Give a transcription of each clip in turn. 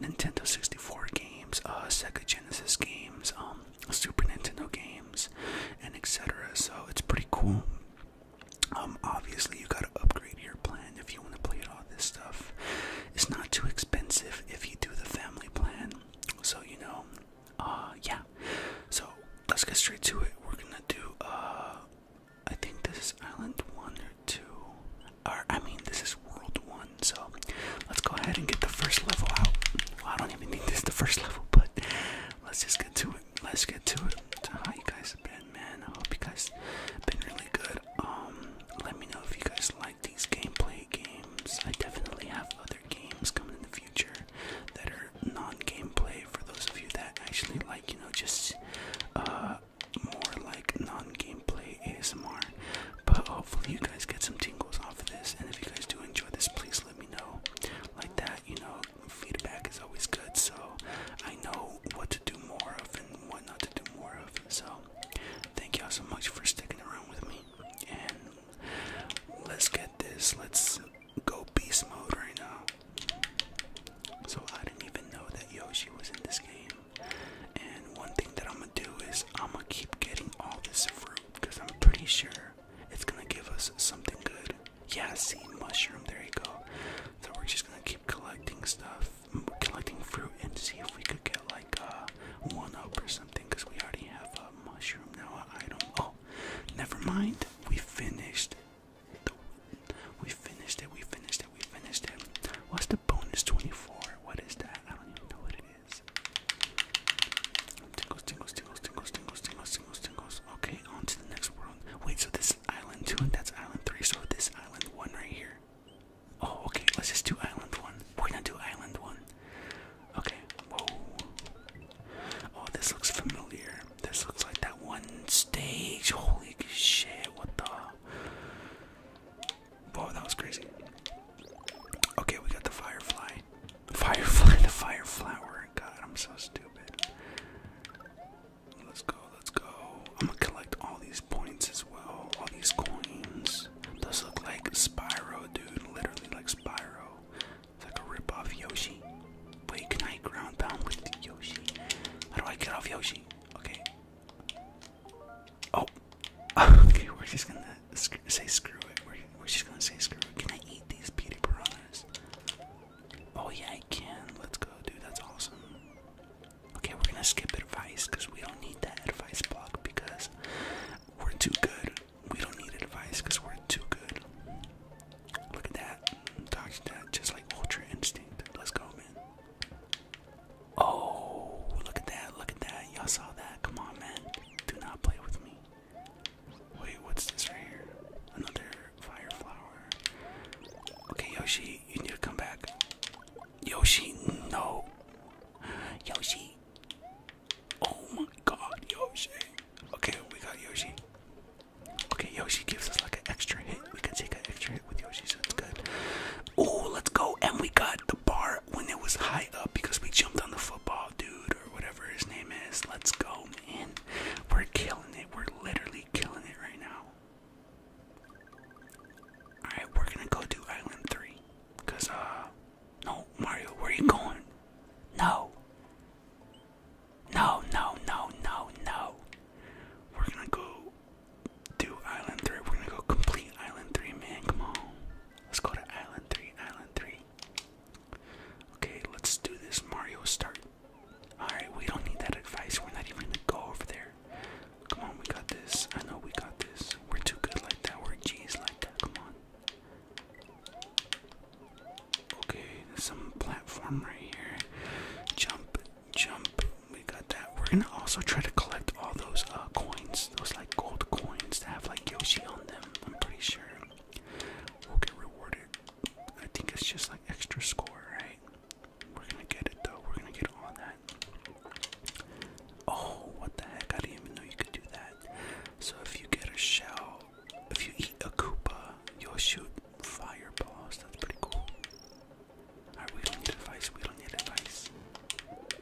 Nintendo 64 games, uh, Sega Genesis games, um, Super Nintendo games, and etc. So it's pretty cool. Um, obviously, you gotta upgrade your plan if you want to play all this stuff. It's not too expensive if you do the family plan. So you know, uh, yeah. So let's get straight to it. We're gonna do uh, I think this is island one or two. Or I mean this is world one, so let's go ahead and get the first level out. I don't even need this the first level, but let's just get to it. Let's get to it. how you guys been, man. I hope you guys have been really good. Um let me know if you guys like these gameplay games. I definitely have other games coming in the future that are non-gameplay for those of you that actually like, you know, just uh more like non-gameplay ASMR. But hopefully you guys get some tingles off of this. And if you guys do enjoy this, please let me know. Like that, you know, feedback is always good. So I know what to do more of and what not to do more of. So thank y'all so much for sticking around with me. And let's get this. Let's go beast mode right now. So I didn't even know that Yoshi was in this game. And one thing that I'm gonna do is I'm gonna keep getting all this fruit because I'm pretty sure it's gonna give us something good. Yeah, see mushroom, there you go. So we're just gonna keep collecting stuff, collecting fruit, and see if we could get like a uh, one up or something because we already have a mushroom now, an item. Oh, never mind. We finished. we finished it. We finished it. We finished it. What's the bonus 24? What is that? I don't even know what it is. Tingles, tingles, tingles, tingles, tingles, tingles, tingles, tingles. Okay, on to the next world. Wait, so this island 2 that's island 3, so this island 1 right here. Oh, okay, let's just do island 1. are do island 1. Okay, whoa. Oh, this looks familiar. This looks like that one stage. Holy shit, what the? Whoa, that was crazy. Okay, we got the firefly. Firefly, the fire God, I'm so stupid. Let's go, let's go. I'm gonna collect all these points as well. All these coins. Those look like Spyro, dude. Literally like Spyro. It's like a rip-off Yoshi. Wait, can I ground pound with Yoshi? How do I get off Yoshi? Okay, Oh, okay. We're just gonna say screw it. We're, we're just gonna say screw it. Can I eat these beauty piranhas? Oh yeah, I can. Let's go, dude. That's awesome. Okay, we're gonna skip advice because we don't need that advice block because we're too good. We don't need advice because we're too good. Look at that. Dodge that. Just like Ultra Instinct. Let's go, man. Oh, look at that, look at that. Y'all saw that. Come on, man. Do not play with me. Wait, what's this right here? Another fire flower. Okay, Yoshi, you need to come back. Yoshi, no. Yoshi. Oh my god, Yoshi. Okay, we got Yoshi. Okay, Yoshi gives us like an extra hit. We can take an extra shit with Yoshi, so it's good. Oh, let's go. And we got the bar when it was high up because we jumped on the football dude or whatever his name is. Let's go, man. We're killing it. We're literally killing it right now. Alright, we're gonna go do Island 3. Cause, uh, no, Mario, where are you going? No. No, no, no, no, no. We're gonna go do Island 3. We're gonna go complete Island 3, man. Come on. Let's go to Island 3, Island 3. Okay, let's do this Mario start. Alright, we don't need that advice. We're not even gonna go over there. Come on, we got this. I know we got this. We're too good like that. We're G's like that. Come on. Okay, there's some platform right here. Jump jump. We got that. We're gonna also try to collect all those uh, coins, those like gold coins that have like Yoshi on them. I'm pretty sure we'll get rewarded. I think it's just like extra score, right? We're gonna get it though. We're gonna get all that. Oh, what the heck! I didn't even know you could do that. So if you get a shell, if you eat a Koopa, you'll shoot fireballs. That's pretty cool. Alright, we don't need advice, we don't need advice.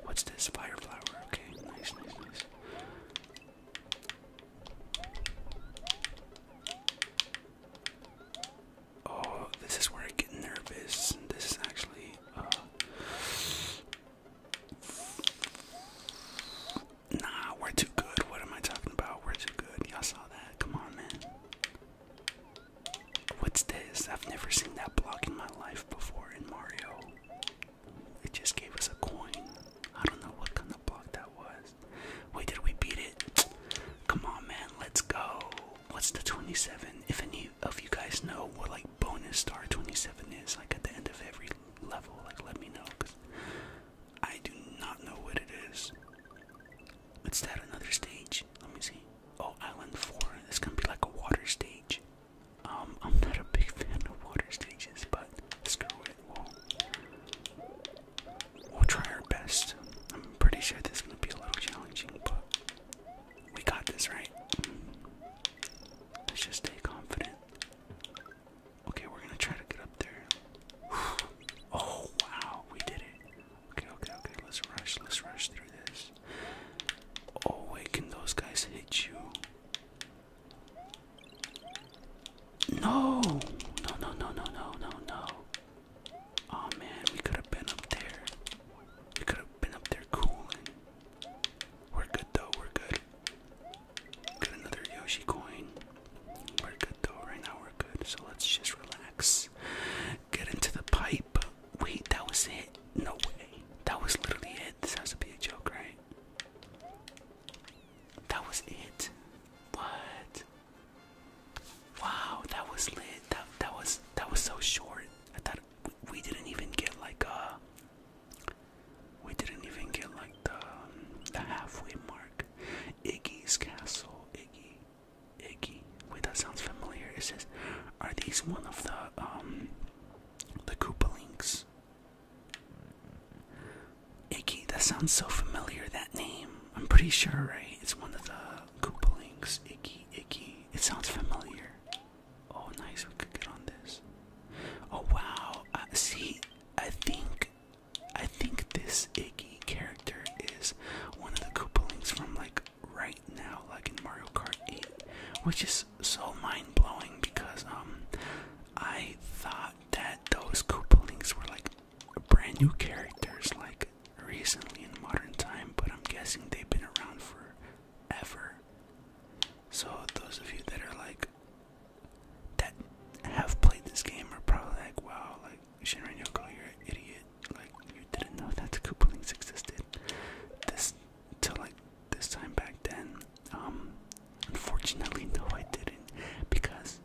What's this? Fire flower, okay, nice, nice, nice. Oh, this is where I get nervous. This is actually uh, Nah, we're too good. What am I talking about? We're too good. Y'all saw that. Come on, man. What's this? I've never seen that block in my life before in Mario. It just gave us a coin. I don't know what kind of block that was. Wait, did we beat it? Come on, man, let's go. What's the 27? If any of you guys know what like bonus star 27 is, like at the end of every level, like let me know, cause I do not know what it is. Is that another stage? Let me see. Oh, Island 4. It's gonna be like a water stage. Um, I'm not a big fan of water stages, but screw it. we we'll try our best. I'm pretty sure this is gonna be a little challenging, but we got this, right? Let's just stay confident. Okay, we're gonna try to get up there. Oh, wow, we did it. Okay, okay, okay. Let's rush. Let's rush through this. Oh wait, can those guys hit you? No! No, no, no, no, no, no, no. Oh man, we could have been up there. We could have been up there cooling. We're good though, we're good. Got another Yoshi coin. We're good though, right now we're good. So let's just relax. Get into the pipe. Wait, that was it. No way. That was literally it. This has to be a joke, right? That was it. What? Wow, that was lit. That that was that was so short. I thought we, didn't even get like uh we didn't even get like the um, the halfway mark. Iggy's castle, Iggy. Iggy. Wait, that sounds familiar. It says, "Are these one of the um, the Koopalings?" Iggy. That sounds so familiar. That name. I'm pretty sure, right? It's one of the Koopalings. Iggy. Iggy. It sounds familiar. Oh, nice. We could get on this. Oh wow. Uh, see, I think, I think this Iggy character is one of the Koopalings from like. Right now, like in Mario Kart 8, which is so mind blowing because um, I thought that those Koopalings were like brand new characters, like recently in modern time, but I'm guessing they've been around for ever. So those of you that are like that have played this game are probably like, wow, like Shinran Yoko, you're an idiot. Like you didn't know that the Koopalings existed. This till like this time back then. Um, unfortunately, no, I didn't because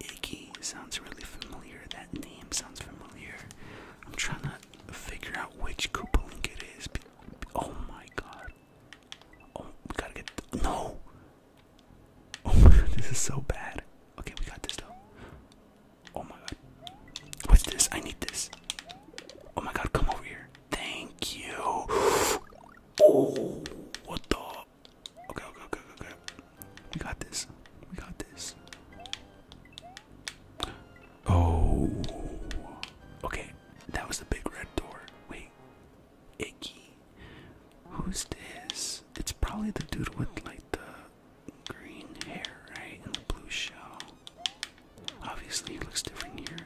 Iggy sounds really familiar. That name sounds familiar. I'm trying to figure out which Koopaling it is. Oh my god. Oh, we gotta get. no! Oh my god, this is so bad. Okay, we got this though. Oh my god. What's this? I need this. Oh my god, come over here. Thank you. Oh, what the? Okay, okay, okay, okay. We got this. We got this. Oh. Okay, that was the big red door. Wait. Icky. Who's this? It's probably the dude with like the green hair, right? And the blue shell. Obviously, he looks different here.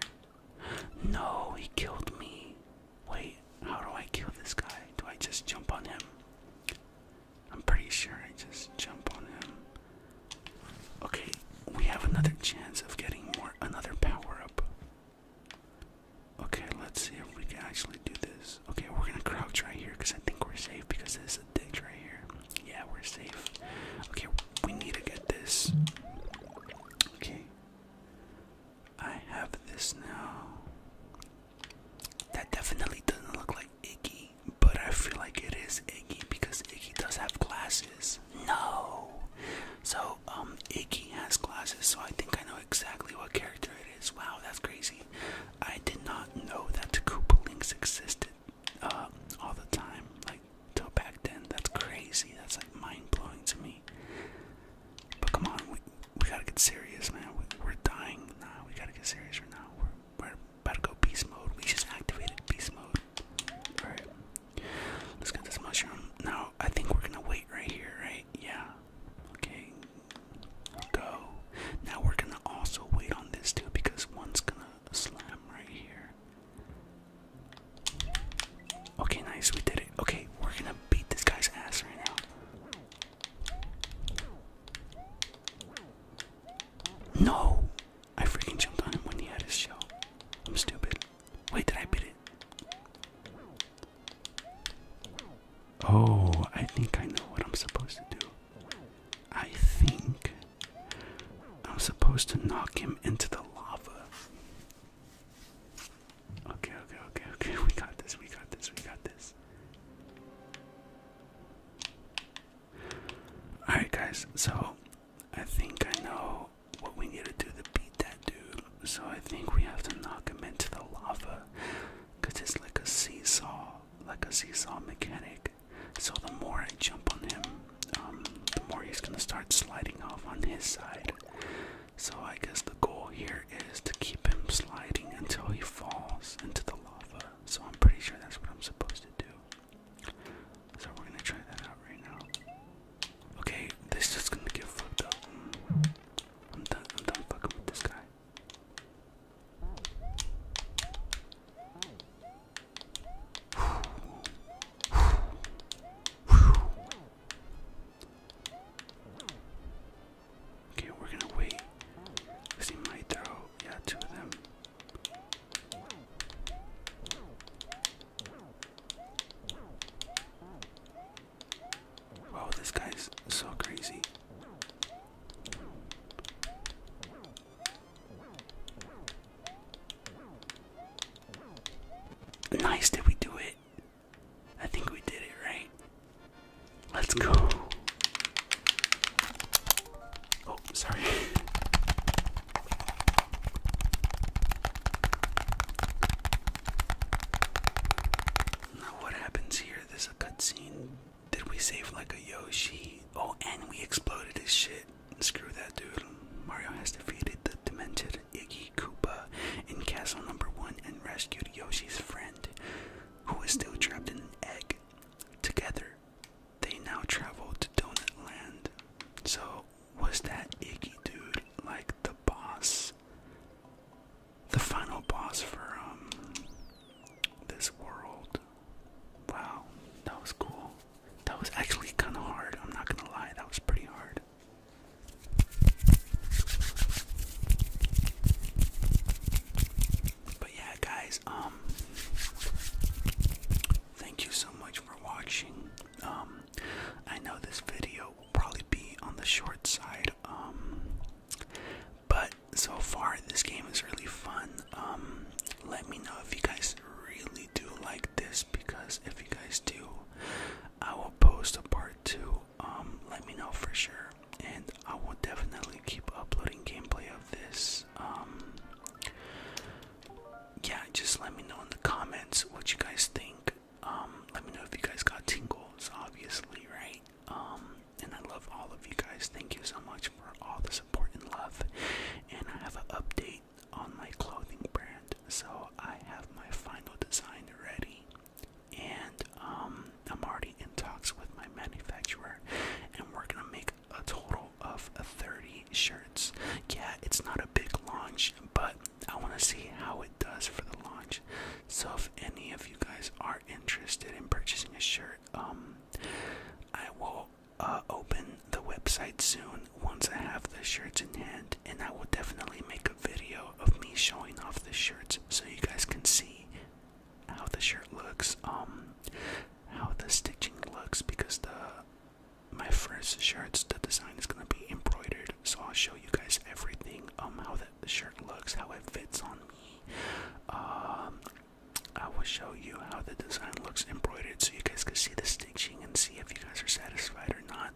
No, he killed me. Wait, how do I kill this guy? Do I just jump on him? I'm pretty sure I just jump on him. Okay, we have another chance of getting more another power up. Okay, let's see if we can actually do this. Okay, we're gonna crouch right here because I think we're safe because there's a ditch right here. Yeah, we're safe. Okay, we need to get this. Okay. I have this now. That definitely doesn't look like Iggy, but I feel like it is Iggy because Iggy does have glasses. No! So, um, Iggy has glasses, so I think I know exactly what character it is. Wow, that's crazy. I did not know that the Koopalings existed uh, all the time, like till back then. That's crazy. That's like mind blowing to me. But come on, we we gotta get serious, man. We, are dying now. Nah, we gotta get serious right now. We're we're about to go beast mode. We just activated beast mode. All right, let's get this mushroom. Now I think we're gonna wait right here, right? Yeah. Okay. Go. Now we're gonna also wait on this too because one's gonna the slam right here. Okay, nice, we did it. Okay, we're gonna beat this guy's ass right now. No! I freaking jumped on him when he had his shell. I'm stupid. Wait, did I beat it? Oh, I think I know what I'm supposed to do. I think I am supposed to knock him into the lava. Okay, okay, okay, okay. We got this, we got this, we got this. Alright, guys, so I think I know what we need to do to beat that dude. So I think we have to knock him into the lava. Because it's like a seesaw, like a seesaw mechanic. So the more I jump on him, um, the more he's gonna start sliding off on his side. So I guess the goal here is to keep him sliding until he falls into the lava. So I'm pretty sure that's what I'm supposed to do. So we're gonna try that out right now. Okay, this is gonna get fucked up. I'm done. I'm done fucking with this guy. Okay, we're gonna wait. Cause he might throw, yeah, two of them. Wow, this guy's so crazy. Nice, did we do it? I think we did it, right? Let's go. Oh, sorry. now, what happens here? There's a cutscene. Did we save like a Yoshi? Oh, and we exploded his shit. Screw that, dude. Mario has defeated the demented Iggy Koopa in Castle Number One and rescued Yoshi's friend, who is still trapped in an egg. Together, they now travel to Donut Land. So, was that Iggy dude like the boss? The final boss for um this world. Wow, that was cool. That was actually kind of hard. I'm not gonna lie, that was pretty hard. But yeah, guys, um, thank you so much for watching. Um, I know this video will probably be on the short side, um, but so far this game is really fun. Um, let me know if you guys really do like this because if you guys do, I will post a part two. Um, let me know for sure, and I will definitely keep uploading gameplay of this. Um, yeah, just let me know in the comments what you guys think. let me know if you guys got tingles, obviously, right? and I love all of you guys. Thank you so much for all this important love. And I have an update on my clothing brand. So I have my final design ready. And um, I'm already in talks with my manufacturer. And we're going to make a total of 30 shirts. Yeah, it's not a big launch, but I want to see how it does for the launch. So if any of you guys are interested in purchasing a shirt, um, I will uh, open the website soon once I have the shirts in hand, and I will definitely make a video of me showing off the shirts so you guys can see how the shirt looks, um, how the stitching looks, because the my first shirts, the design is gonna be embroidered, so I'll show you guys everything, um, how the shirt looks, how it fits on me, um, I will show you how the design looks embroidered so you guys can see the stitching and see if you guys are satisfied or not.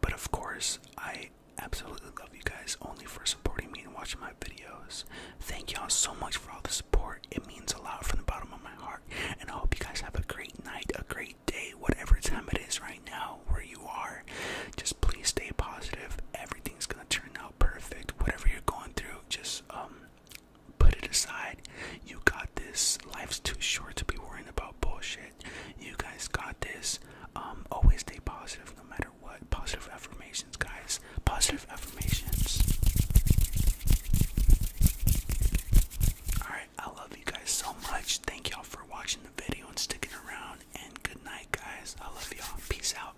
But of course, I absolutely love you guys only for supporting me and watching my videos. Thank y'all so much for all the support. It means a lot from the bottom of my heart. And I hope you guys have a great night, a great day, whatever time it is right now where you are. Just please stay positive. Everything's gonna turn out perfect. Whatever you're going through, just um Put it aside. You got this. Life's too short to be worrying about bullshit. You guys got this. Um, always stay positive no matter what. Positive affirmations, guys. Positive affirmations. Alright, I love you guys so much. Thank y'all for watching the video and sticking around. And good night, guys. I love y'all. Peace out.